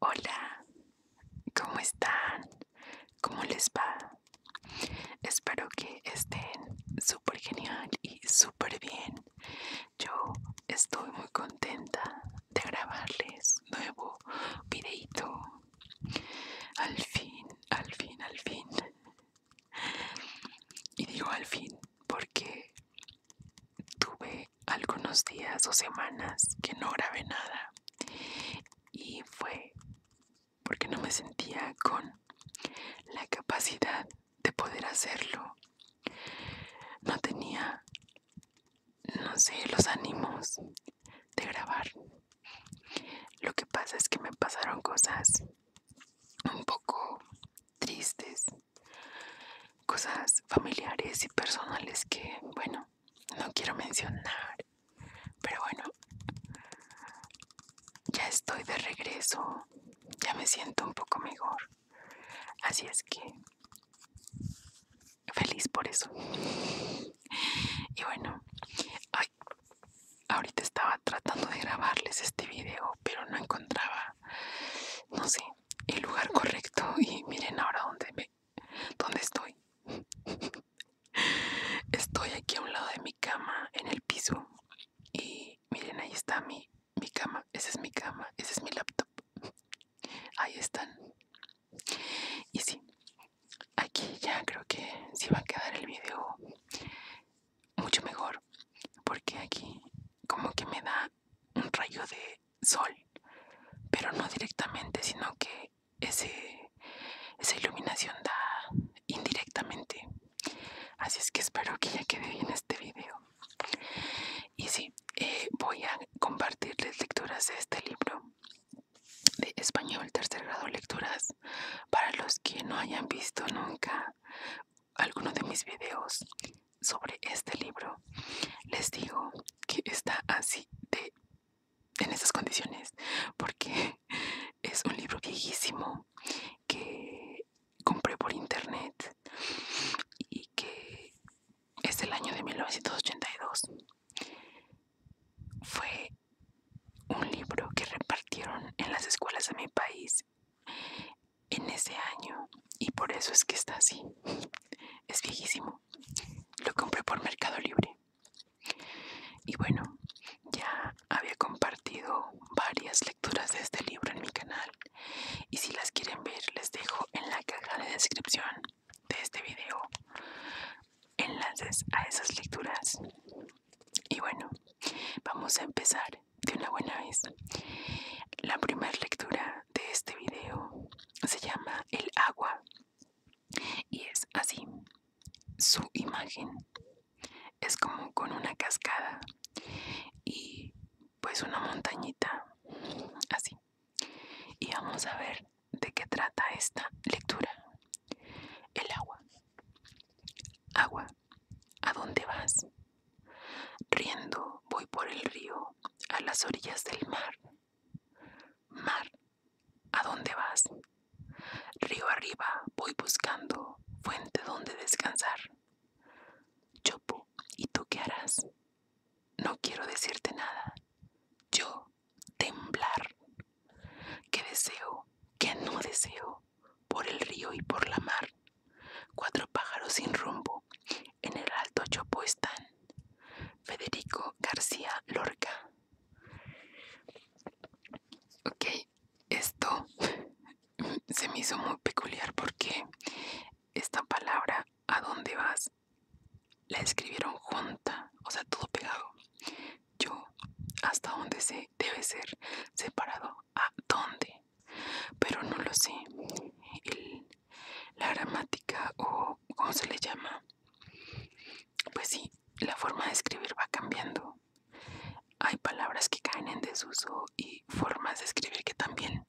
Hola, ¿cómo están? ¿Cómo les va? Espero que estén súper genial y súper bien. Yo estoy muy contenta de grabarles nuevo videito. Al fin, al fin, al fin. Y digo al fin porque tuve algunos días o semanas que no grabé nada y fue porque no me sentía con la capacidad de poder hacerlo. No tenía, no sé, los ánimos de grabar. Lo que pasa es que me pasaron cosas un poco tristes cosas familiares y personales que, bueno, no quiero mencionar. Pero bueno, ya estoy de regreso, ya me siento un poco mejor. Así es que feliz por eso. Y bueno, ahorita estaba tratando de grabarles este video, pero no encontraba, no sé, el lugar correcto. Y miren ahora dónde ¿Dónde estoy? Estoy aquí a un lado de mi cama, en el piso. Y miren, ahí está mi, cama. Esa es mi cama, ese es mi laptop. Ahí están. Y sí, aquí ya creo que Si va a quedar el video mucho mejor. Porque aquí como que me da un rayo de sol, pero no directamente, sino que ese, esa iluminación da indirectamente. Así es que espero que ya quede bien este vídeo Y sí, eh, voy a compartirles lecturas de este libro de español tercer grado lecturas para los que no hayan visto nunca alguno de mis videos sobre este libro les digo que está así de en esas condiciones porque es un libro viejísimo que compré por internet y que es el año de 1982 fue un libro que repartieron en las escuelas de mi país en ese año y por eso es que está así es viejísimo lo compré por Mercado Libre y bueno ya había compartido varias lecturas de este libro en mi canal y si las quieren ver les dejo en la caja de descripción de este video enlaces a esas lecturas y bueno vamos a empezar de una buena vez la primera lectura de este video se llama El agua y es así. Su imagen es como con una cascada y pues una montañita así. Y vamos a ver de qué trata esta lectura. El agua. Agua, ¿a dónde vas? Riendo voy por el río, a las orillas del mar. Mar, ¿a dónde vas? Río arriba voy buscando fuente donde descansar. Chopo, ¿y tú qué harás? No quiero decirte nada. Yo, temblar. ¿Qué deseo? ¿Qué no deseo? Por el río y por la mar. Cuatro pájaros sin rumbo. En el alto chopo están. Federico García Lorca. Ok, esto se me hizo muy peculiar porque esta palabra, ¿a dónde vas? La escribieron junta, o sea, todo pegado. Yo, hasta dónde sé, debe ser separado. ¿A dónde? Pero no lo sé la gramática o cómo se le llama, pues sí, la forma de escribir va cambiando. Hay palabras que caen en desuso y formas de escribir que también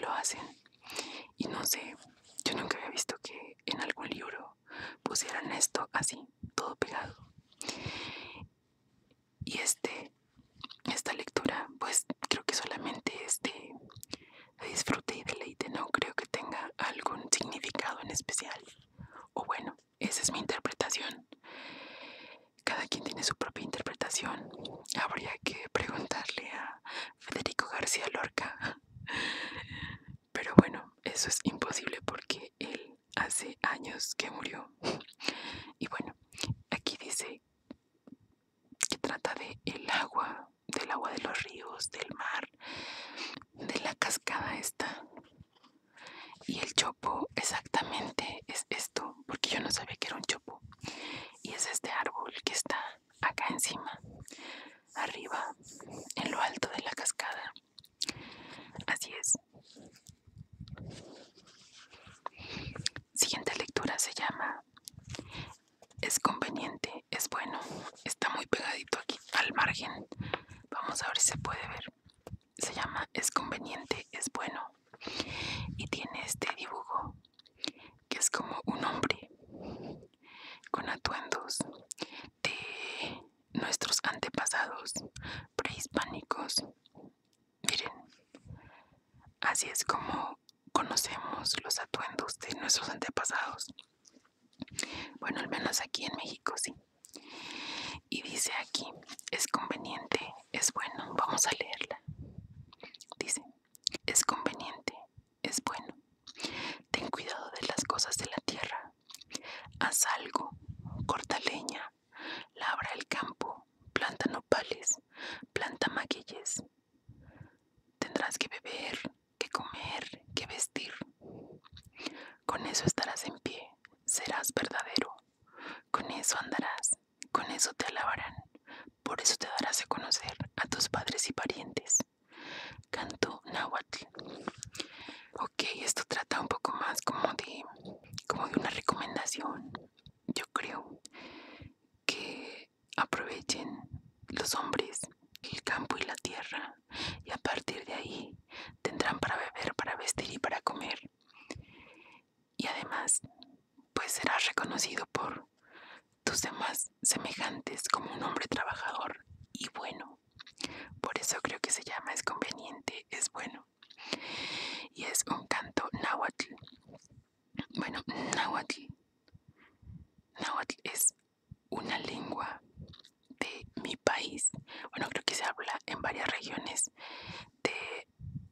lo hacen. Y no sé, yo nunca había visto que en algún libro pusieran esto así, todo pegado. Y este, esta lectura, pues creo que solamente este disfrute y deleite. No creo que tenga algún significado en especial. O bueno, esa es mi interpretación. Cada quien tiene su propia interpretación. Habría que preguntarle a Federico García Lorca. Pero bueno, eso es imposible porque él hace años que murió. Y bueno, aquí dice que trata de el agua del agua de los ríos, del mar, de la cascada esta. Y el chopo exactamente es esto, porque yo no sabía que era un chopo. Y es este árbol que está acá encima, arriba, en lo alto de la cascada. Así es. Siguiente lectura se llama Es conveniente es bueno está muy pegadito aquí al margen vamos a ver si se puede ver se llama es conveniente es bueno y tiene este dibujo que es como un hombre con atuendos de nuestros antepasados prehispánicos miren así es como conocemos los atuendos de nuestros antepasados. Bueno, al menos aquí en México sí. Y dice aquí, es conveniente, es bueno, vamos a leerla. Dice, es conveniente, es bueno. Ten cuidado de las cosas de la tierra. Haz algo, corta leña, labra el campo, planta nopales, planta maquilles. Tendrás que beber, que comer, qué vestir. Con eso estarás en pie, serás verdadero. Con eso andarás, con eso te alabarán. Por eso te darás a conocer a tus padres y parientes. Canto nahuatl. Ok, esto trata un poco más como de, como de una recomendación. Yo creo que aprovechen los hombres el campo y la tierra y a partir de ahí tendrán para beber, para vestir y para comer. Y además, pues será reconocido por tus demás semejantes como un hombre trabajador y bueno. Por eso creo que se llama es conveniente, es bueno. Y es un canto náhuatl. Bueno, náhuatl. Náhuatl es una lengua de mi país. Bueno, creo que se habla en varias regiones de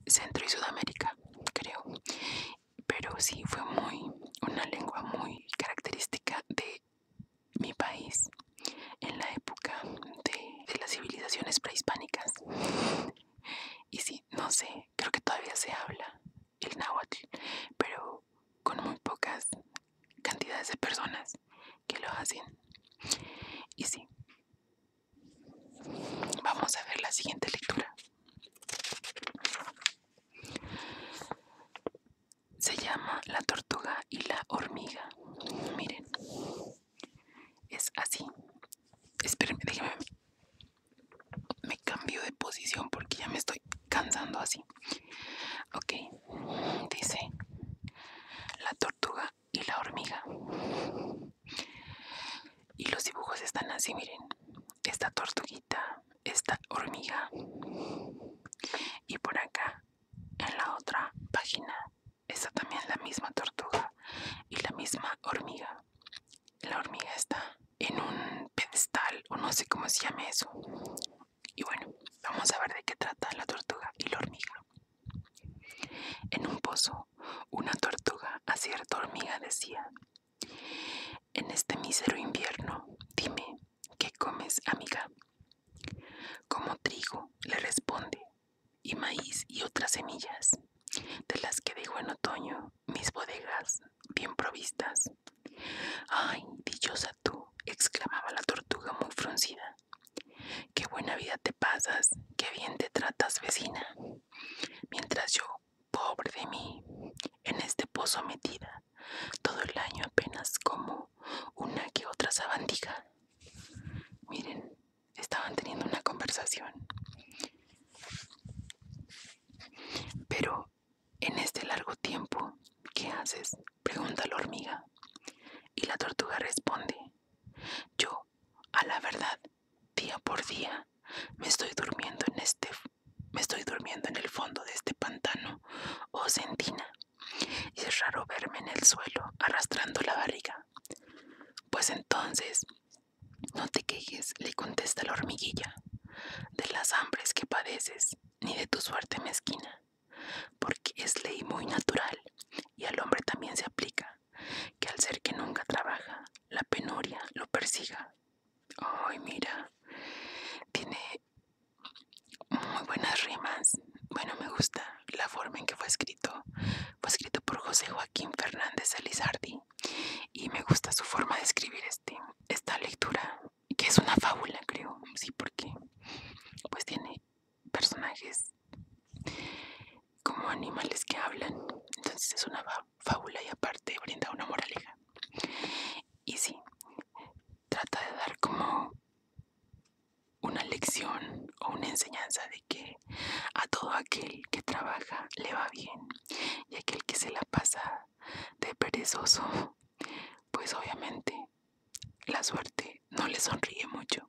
Centro y Sudamérica, creo. Pero sí, fue muy, una lengua muy característica de mi país en la época de, las civilizaciones prehispánicas. Y sí, no sé, creo que todavía se habla el náhuatl, pero con muy pocas cantidades de personas que lo hacen. Y sí, vamos a ver la siguiente lectura. Se llama La tortuga y la hormiga. Miren, es así. Espérenme, déjenme. Me cambio de posición porque ya me estoy cansando así. Ok, dice la tortuga y la hormiga. Y los dibujos están así, miren. Esta tortuguita, esta hormiga. Y por acá, en la otra página, está también la misma tortuga y la misma hormiga. La hormiga está en un pedestal o no sé cómo se llama eso. Y bueno, vamos a ver de qué trata la tortuga y la hormiga. En un pozo, una tortuga a cierta hormiga decía, en este mísero invierno, dime, ¿qué comes, amiga? Como trigo, le responde, y maíz y otras semillas, de las que dejo en otoño mis bodegas bien provistas. Ay, dichosa tú, exclamaba la tortuga muy fruncida. Qué buena vida te pasas, qué bien te tratas, vecina. Mientras yo, pobre de mí, en este pozo metida, todo el año apenas como una que otra sabandija. Miren, estaban teniendo una conversación. Pero en este largo tiempo, ¿qué haces? pregunta la hormiga. Y la tortuga responde, yo, a la verdad, día por día, me estoy durmiendo en este, me estoy durmiendo en el fondo de este pantano o sentina, es raro verme en el suelo arrastrando la barriga. Pues entonces, no te quejes, le contesta la hormiguilla, de las hambres que padeces ni de tu suerte mezquina, porque es ley muy natural y al hombre también se aplica, que al ser que nunca trabaja, la penuria lo persiga. Ay, mira, tiene muy buenas rimas. Bueno, me gusta la forma en que fue escrito. Fue escrito por José Joaquín Fernández Elizardi y me gusta su forma de escribir este, esta lectura que es una fábula, creo, sí, porque pues tiene personajes como animales que hablan, entonces es una fábula y aparte brinda una moraleja. Y sí, trata de dar como una lección o una enseñanza de que a todo aquel que trabaja le va bien y aquel que se la pasa de perezoso pues obviamente la suerte no le sonríe mucho.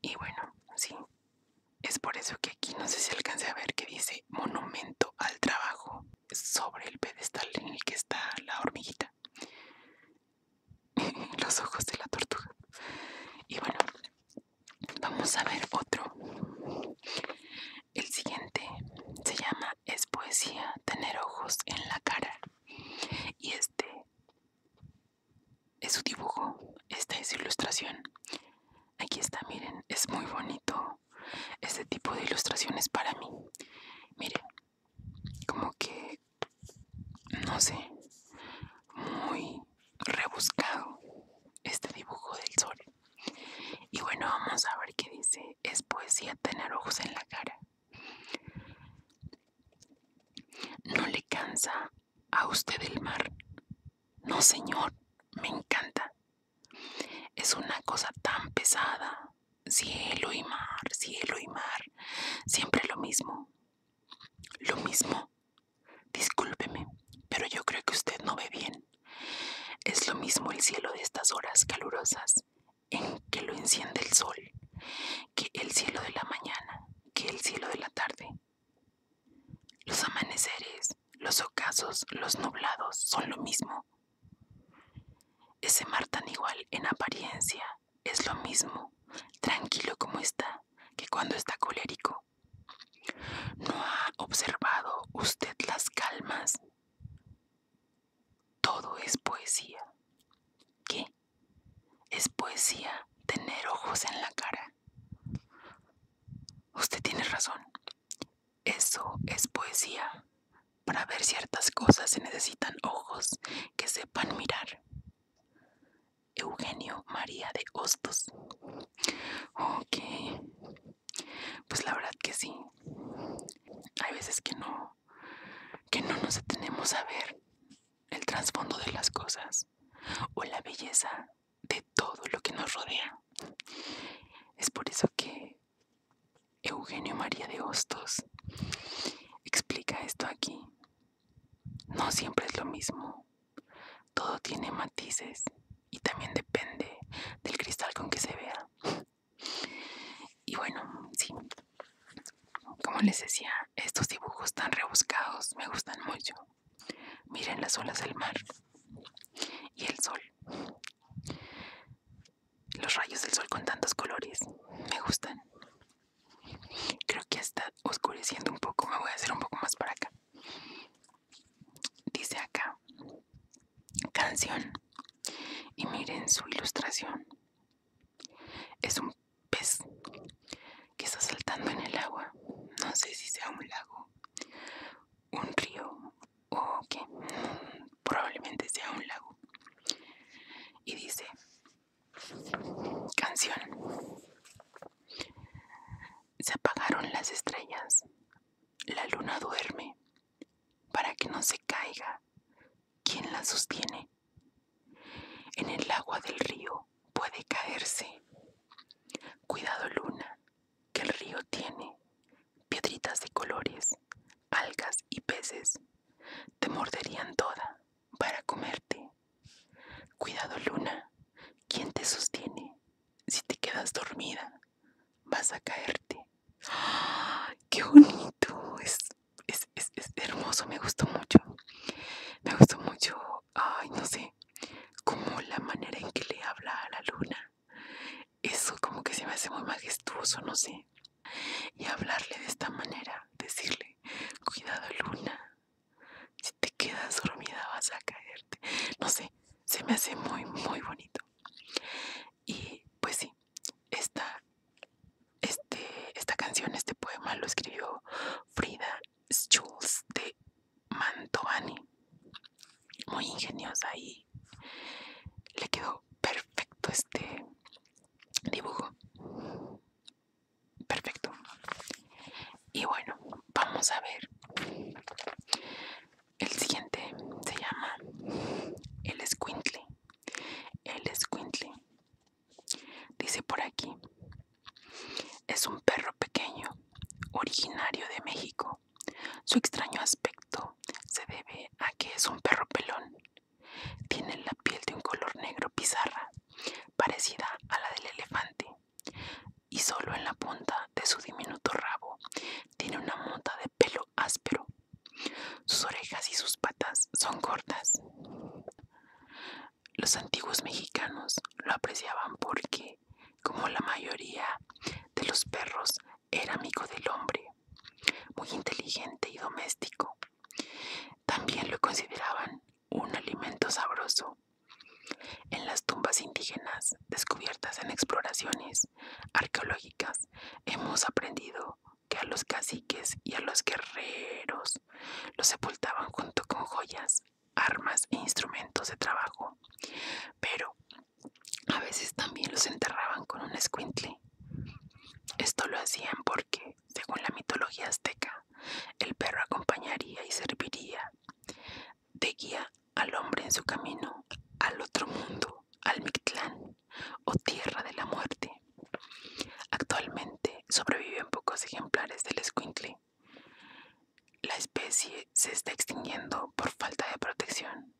Y bueno, sí, es por eso que aquí no sé si alcance a ver que dice monumento al trabajo sobre el pedestal en el que está la hormiguita. Los ojos de la tortuga. Y bueno, vamos a ver otro. El siguiente se llama es poesía tener ojos en la cara. Y este es su dibujo, esta es su ilustración. Aquí está, miren, es muy bonito este tipo de ilustraciones para mí. Miren, como que, no sé, muy rebuscado este dibujo del sol. Y bueno, vamos a ver qué dice es poesía tener ojos en la cara. ¿No le cansa a usted el mar? No, señor, me encanta. Es una cosa tan pesada. Cielo y mar, cielo y mar. Siempre lo mismo. Lo mismo. Discúlpeme, pero yo creo que usted no ve bien. Es lo mismo el cielo de estas horas calurosas en que lo enciende el sol, que el cielo de la mañana, que el cielo de la tarde. Los amaneceres, los ocasos, los nublados son lo mismo. Ese mar tan igual en apariencia es lo mismo, tranquilo como está, que cuando está colérico. ¿No ha observado usted las calmas? todo es poesía. ¿Qué? Es poesía tener ojos en la cara. Usted tiene razón. Eso es poesía. Para ver ciertas cosas se necesitan ojos que sepan mirar. Eugenio María de Hostos. Ok. Pues la verdad que sí. Hay veces que no, que no nos atenemos a ver el trasfondo de las cosas o la belleza de todo lo que nos rodea. Es por eso que Eugenio María de Hostos explica esto aquí. No siempre es lo mismo. Todo tiene matices y también depende del cristal con que se vea. Y bueno, sí, como les decía, estos dibujos tan rebuscados me gustan mucho. Miren las olas del mar y el sol. Los rayos del sol con tantos colores me gustan. Creo que está oscureciendo un poco, me voy a hacer un poco más para acá. Dice acá, canción y miren su ilustración. Es un pez que está saltando en el agua. No sé si sea un lago, un río o qué. Probablemente sea un lago. Y dice, canción. Se apagaron las estrellas. La luna duerme para que no se caiga. ¿Quién la sostiene? En el agua del río puede caerse. Cuidado luna, que el río tiene piedritas de colores, algas y peces. Te morderían toda para comerte. Cuidado luna, ¿quién te sostiene si te quedas dormida? vas a caerte. ¡Qué bonito! Es, hermoso, me gustó mucho. Me gustó mucho, ay, no sé, como la manera en que le habla a la luna. Eso como que se me hace muy majestuoso, no sé. Y hablarle de esta manera, decirle, cuidado luna, si te quedas dormida vas a caerte. No sé, se me hace muy, muy bonito. Y pues sí, esta, este, esta canción, este poema lo escribió Frida Schulz de Mantovani. Muy ingeniosa y le quedó perfecto este dibujo. Perfecto. Y bueno, vamos a ver el siguiente se llama El Squintle. El Squintle. Dice por aquí. Es un perro pequeño, originario de México. Su extraño aspecto se debe a que es un perro pelón. Tiene la piel de un color negro pizarra, parecida a la del elefante, y solo en la punta de su diminuto rabo tiene una mota de pelo áspero. Sus orejas y sus patas son cortas. Los antiguos mexicanos lo apreciaban porque, como la mayoría de los perros, era amigo del hombre, muy inteligente y doméstico. También lo consideraban un alimento sabroso. En las tumbas indígenas descubiertas en exploraciones arqueológicas hemos aprendido que a los caciques y a los guerreros los sepultaban junto con joyas, armas e instrumentos de trabajo, pero a veces también los enterraban con un escuintle. Esto lo hacían porque, según la mitología azteca, el perro acompañaría y serviría de guía al hombre en su camino al otro mundo al o Tierra de la Muerte. Actualmente sobreviven pocos ejemplares del esquintle. La especie se está extinguiendo por falta de protección.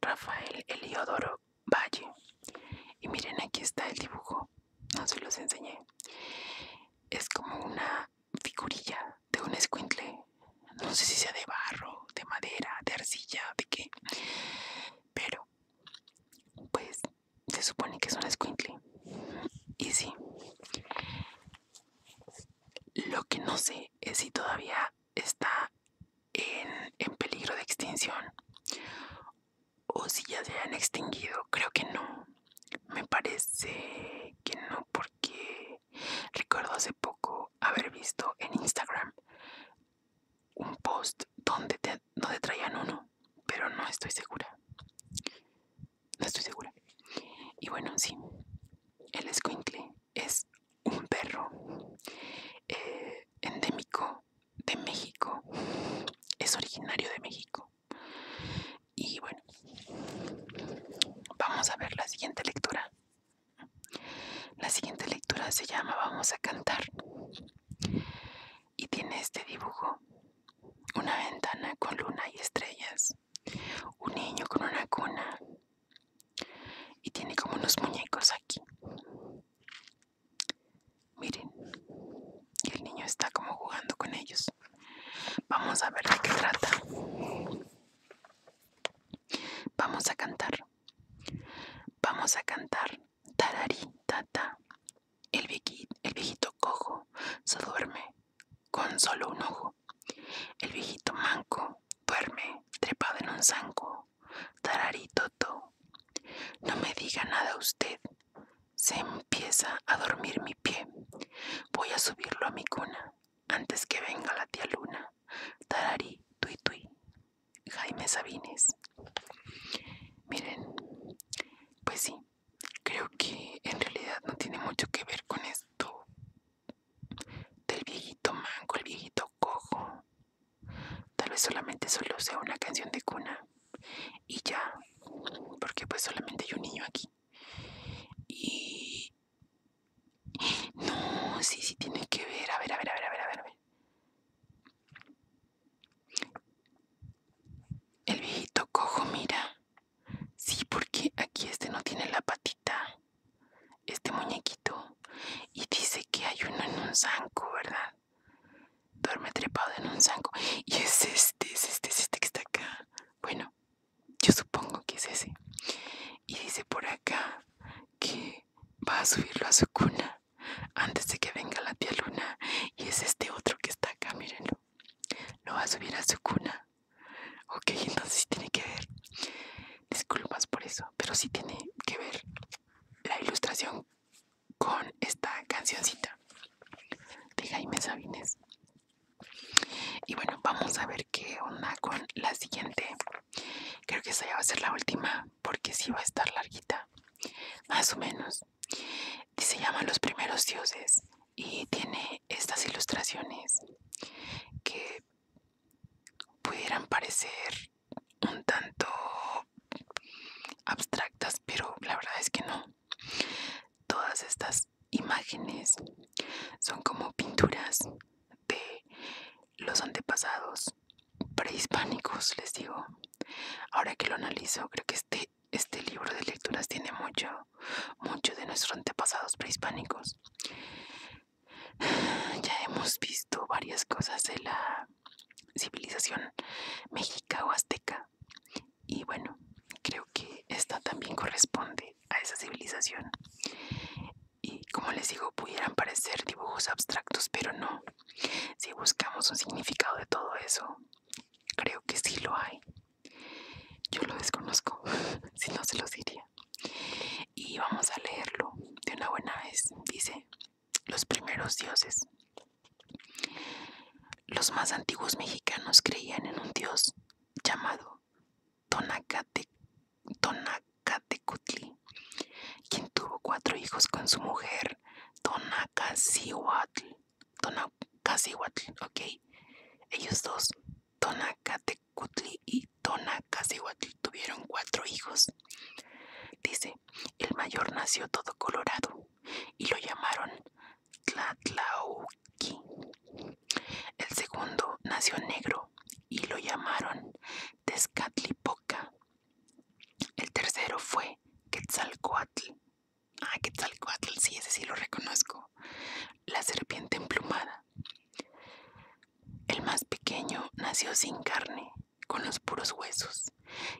Rafael Eliodoro Valle. Y miren, aquí está el dibujo. No se los enseñé. Es como una figurilla de un esquintle. No sé si sea de barro, de madera, de arcilla, de qué. Pero, pues, se supone que es una squintly. Y sí. Lo que no sé es si todavía está en, en peligro de extinción. O si ya se han extinguido. Creo que no. Me parece que no porque recuerdo hace poco haber visto en Instagram un post donde, traían uno, pero no estoy segura. No estoy segura. Y bueno, sí, el escuincle es un perro eh, endémico de México. Es originario de México. Y bueno, vamos a ver la siguiente lectura. La siguiente lectura se llama Vamos a cantar y tiene este dibujo, una ventana con luna y estrellas, un niño con una cuna y tiene como unos muñecos aquí. Miren, y el niño está como jugando con ellos. Vamos a ver de qué trata. Vamos a cantar. Vamos a cantar tararí, tata. El viejito, el viejito cojo se duerme con solo un ojo. El viejito manco duerme trepado en un zanco. Tararí, toto. No me diga nada usted. Se empieza a dormir mi pie. Voy a subirlo a mi cuna antes que venga la tía luna. Tararí, tui tui. Jaime Sabines. Miren, pues sí, creo que en realidad no tiene mucho que ver con esto del viejito manco, el viejito cojo. Tal vez solamente solo sea una canción de cuna y ya, porque pues solamente hay un niño aquí. Y no, sí, sí tiene que ver. A ver, a ver, a ver, a ver, a ver. El viejito cojo, mira. Sí, porque aquí este no tiene la patita. Este muñequito. Y dice que hay uno en un zanco, ¿verdad? Duerme trepado en un zanco. Y es este, es este, es este que está acá. Bueno, yo supongo que es ese. Y dice por acá que va a subirlo a su cuna antes de que venga la tía Luna. Y es este otro que está acá, mírenlo. Lo va a subir a su cuna. Ok, entonces tiene que ver. Disculpas por eso, pero sí tiene que ver la ilustración con esta cancioncita de Jaime Sabines. Y bueno, vamos a ver qué onda con la siguiente Creo que esa ya va a ser la última porque sí va a estar larguita. Más o menos. Se llama Los primeros dioses y tiene estas ilustraciones que pudieran parecer un tanto abstractas, pero la verdad es que no. Todas estas imágenes son como pinturas de los antepasados prehispánicos, les digo. Ahora que lo analizo, creo que este, este libro de lecturas tiene mucho, mucho de nuestros antepasados prehispánicos. Ya hemos visto varias cosas de la civilización mexica o azteca. Y bueno, creo que esta también corresponde a esa civilización. Y como les digo, pudieran parecer dibujos abstractos, pero no. Si buscamos un significado de todo eso, creo que sí lo hay. Yo lo desconozco, si no se los diría. Y vamos a leerlo de una buena vez. Dice, los primeros dioses. Los más antiguos mexicanos creían en un dios llamado Tonacate. Catecutli, quien tuvo cuatro hijos con su mujer Tona Tonacacihuatl, ok. Ellos dos, Tonacatecutli y Tonacacihuatl, tuvieron cuatro hijos. Dice, el mayor nació todo colorado y lo llamaron Tlatlauki El segundo nació negro y lo llamaron Tezcatlipoca. El tercero fue Quetzalcoatl. Ah, Quetzalcoatl, sí, ese sí lo reconozco. La serpiente emplumada. El más pequeño nació sin carne, con los puros huesos,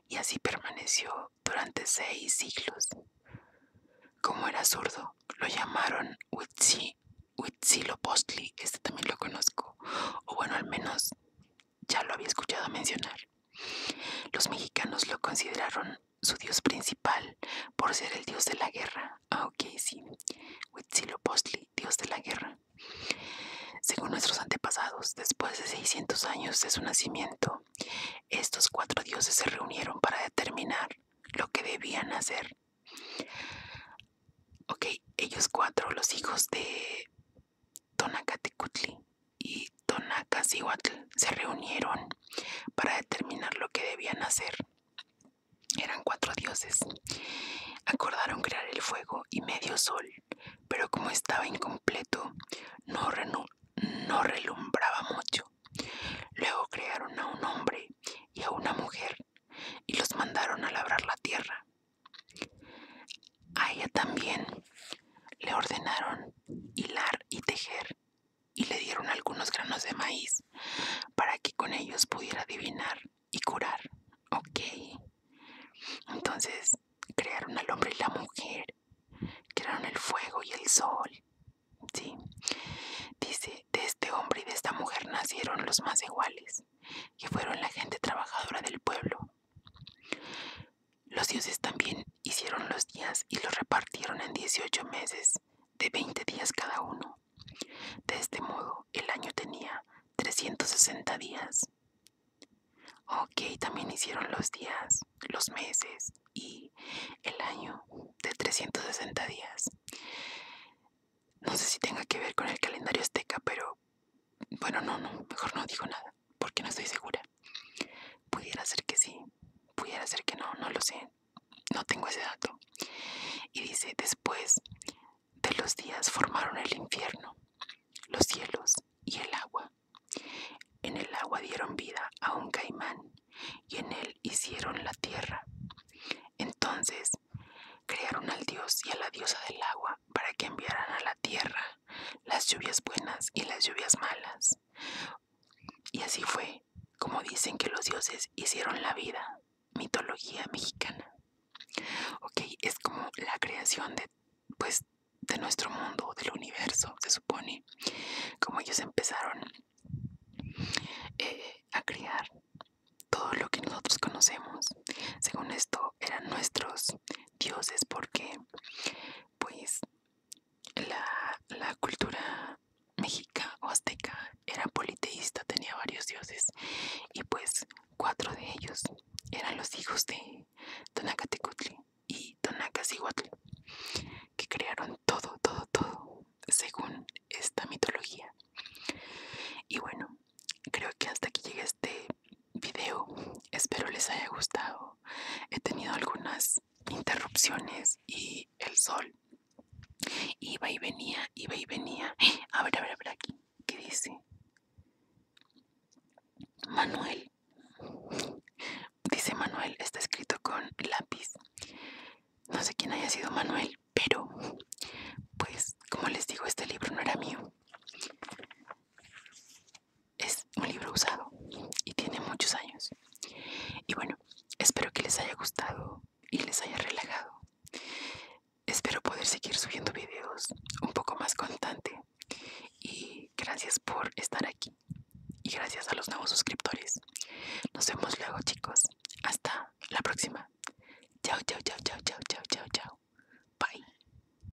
y así permaneció durante seis siglos. Como era zurdo, lo llamaron Huitzi, Huitzilopochtli, este también lo conozco, o bueno, al menos ya lo había escuchado mencionar. Los mexicanos lo consideraron su dios principal por ser el dios de la guerra. Ah, ok, sí. Huitzilopochtli, dios de la guerra. Según nuestros antepasados, después de 600 años de su nacimiento, estos cuatro dioses se reunieron para determinar lo que debían hacer. Ok, ellos cuatro, los hijos de Tonacatecutli y Tonacacihuatl se reunieron para determinar lo que debían hacer. Eran cuatro dioses. Acordaron crear el fuego y medio sol, pero como estaba incompleto, no, no relumbraba mucho. Luego crearon a un hombre y a una mujer y los mandaron a labrar la tierra. A ella también le ordenaron hilar y tejer y le dieron algunos granos de maíz para que con ellos pudiera adivinar y curar. Ok. Entonces crearon al hombre y la mujer, crearon el fuego y el sol. Sí. Dice, de este hombre y de esta mujer nacieron los más iguales, que fueron la gente trabajadora del pueblo, los dioses también hicieron los días y los repartieron en 18 meses, de 20 días cada uno. De este modo, el año tenía 360 días. Ok, también hicieron los días, los meses y el año de 360 días. No sé si tenga que ver con el calendario azteca, pero bueno, no, no, mejor no digo nada, porque no estoy segura. Pudiera ser que sí, pudiera ser que no, no lo sé. No tengo ese dato. Y dice, después de los días formaron el infierno, los cielos y el agua. En el agua dieron vida a un caimán y en él hicieron la tierra. Entonces crearon al dios y a la diosa del agua para que enviaran a la tierra las lluvias buenas y las lluvias malas. Y así fue como dicen que los dioses hicieron la vida, mitología mexicana. Ok, es como la creación de, pues, de nuestro mundo, del universo, se supone, como ellos empezaron eh, a crear todo lo que nosotros conocemos. Según esto, eran nuestros dioses porque pues la, cultura mexica o azteca era politeísta, tenía varios dioses y pues cuatro de ellos eran los hijos de Tonacatecutli y Tonacacihuatl que crearon todo, todo, todo según esta mitología. Y bueno, creo que hasta aquí llega este video. Espero les haya gustado. He tenido algunas interrupciones y el sol iba y venía, iba y venía. A ver, a ver, a ver aquí. ¿Qué dice? Manuel. Dice Manuel, está escrito con lápiz. No sé quién haya sido Manuel, pero pues como les digo, este libro no era mío es un libro usado y tiene muchos años. Y bueno, espero que les haya gustado y les haya relajado. Espero poder seguir subiendo videos un poco más constante. Y gracias por estar aquí. Y gracias a los nuevos suscriptores. Nos vemos luego chicos. Hasta la próxima. Chao, chao, chao, chao, chao, chao, chao, chao. Bye.